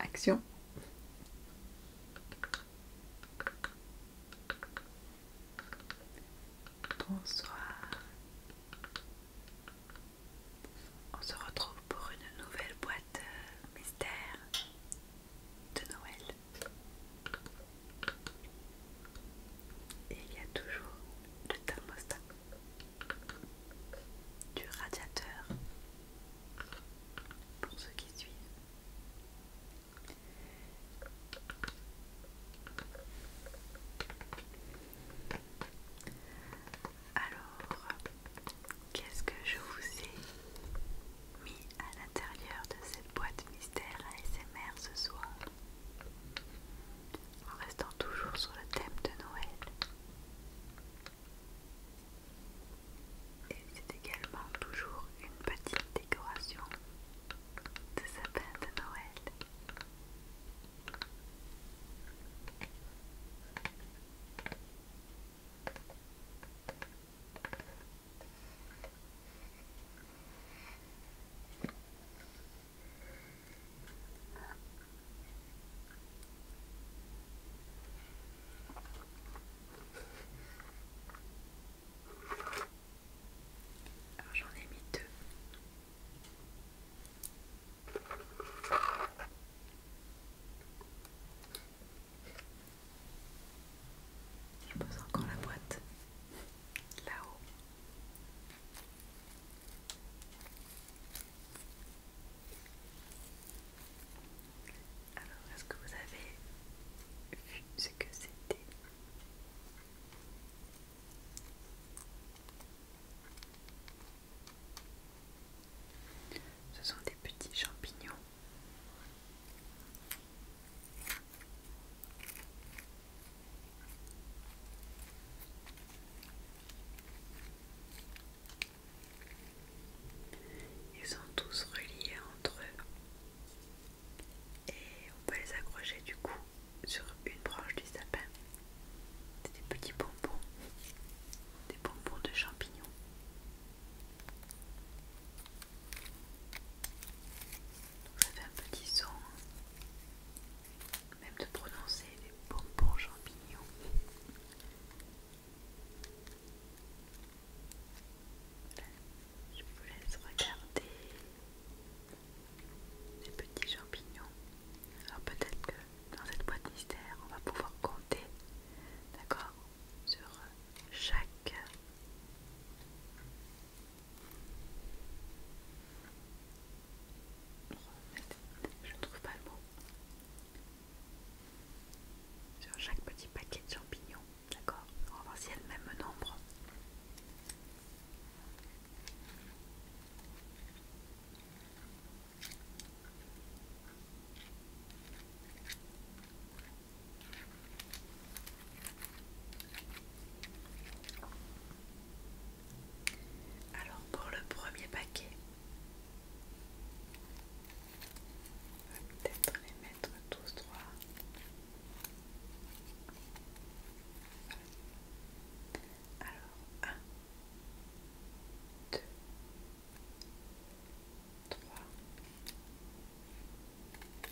Action. Bonsoir. On se retrouve pour une nouvelle boîte euh, mystère de Noël. Et il y a toujours le thermostat du radiateur pour ceux qui suivent alors, qu'est-ce que je vous ai mis à l'intérieur de cette boîte mystère ASMR ce soir En restant toujours sur le thème de Noël. Et c'est également toujours une petite décoration de sapin de Noël j'en ai mis deux. Je pose encore la boîte là-haut. Alors, est-ce que vous avez vu ce que c'était Ce sont des petits champignons. Ils sont tous reliés entre eux et on peut les accrocher du coup sur une branche du sapin. C'est des petits bonbons, des bonbons de champignons. ça fait un petit son, hein. même de prononcer des bonbons champignons. Je vous laisse regarder les petits champignons. Alors peut-être que dans cette boîte mystère, on va pouvoir compter, d'accord, sur euh, chaque je ne trouve pas le mot sur chaque petit paquet de champignons, d'accord On va voir si y a le même nombre. Alors pour le premier paquet, on va peut-être les mettre tous trois. Alors, 1, 2, 3,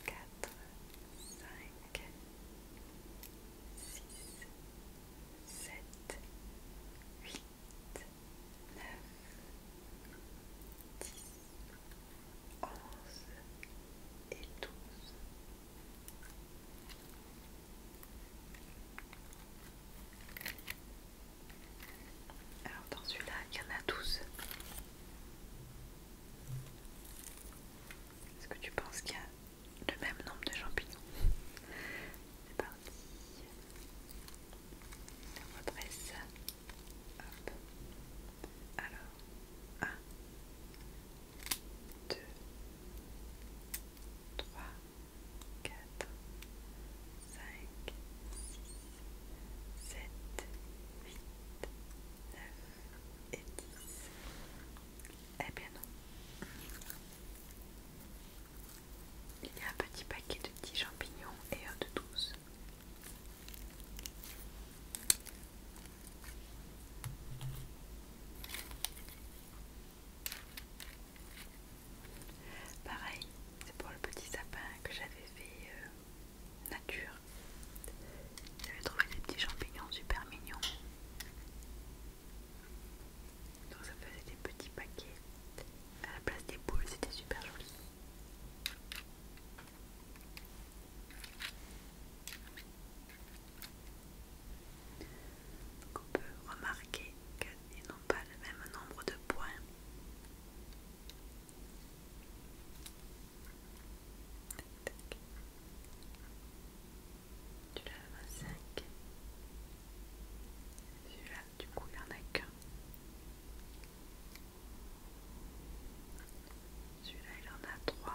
4, 5, 6, 7, 8, 9, 10, 11 et 12. Alors dans celui-là, il y en a 12. Est-ce que tu penses qu'il y a le même nombre de champignons C'est parti. On represse ça. Alors, 1, 2, 3, 4, 5, 6, 7, 8, 9 et 10. et eh bien non. Il y a un petit paquet de petits champignons et un de 12. Pareil, c'est pour le petit sapin que j'avais fait euh, nature. J'avais trouvé des petits champignons super mignons. Donc ça faisait des petits paquets à la place des boules, c'était super joli. Donc on peut remarquer qu'ils n'ont pas le même nombre de points. Tu l'as 5. Celui-là, du coup, il en a qu'un. Celui-là, il en a 3.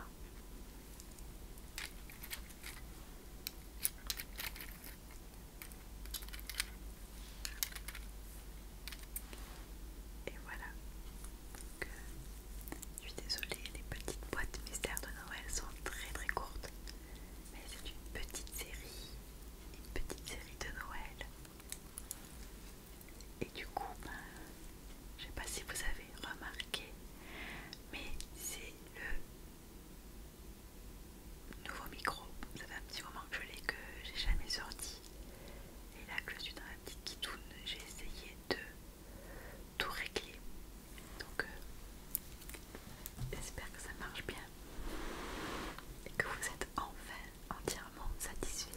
Et voilà. Euh, je suis désolée, les petites boîtes mystères de Noël sont très très courtes mais c'est une petite série, une petite série de Noël. Et du coup, ben, je ne sais pas si vous avez remarqué, mais c'est le nouveau micro. Ça fait un petit moment que je l'ai, que j'ai jamais sorti. Et là que je suis dans la petite kitoune, j'ai essayé de tout réglé. Donc, euh, j'espère que ça marche bien et que vous êtes enfin entièrement satisfait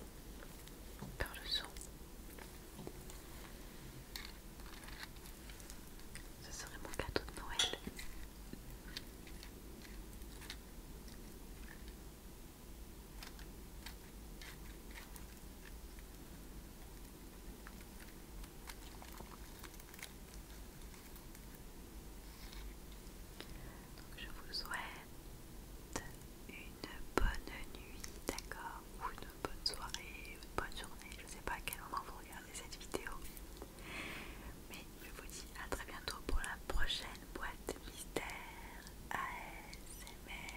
par le son. Ce serait mon cadeau de Noël je vous souhaite une bonne nuit, d'accord Ou une bonne soirée, une bonne journée, je ne sais pas à quel moment vous regardez cette vidéo. Mais je vous dis à très bientôt pour la prochaine boîte mystère ASMR.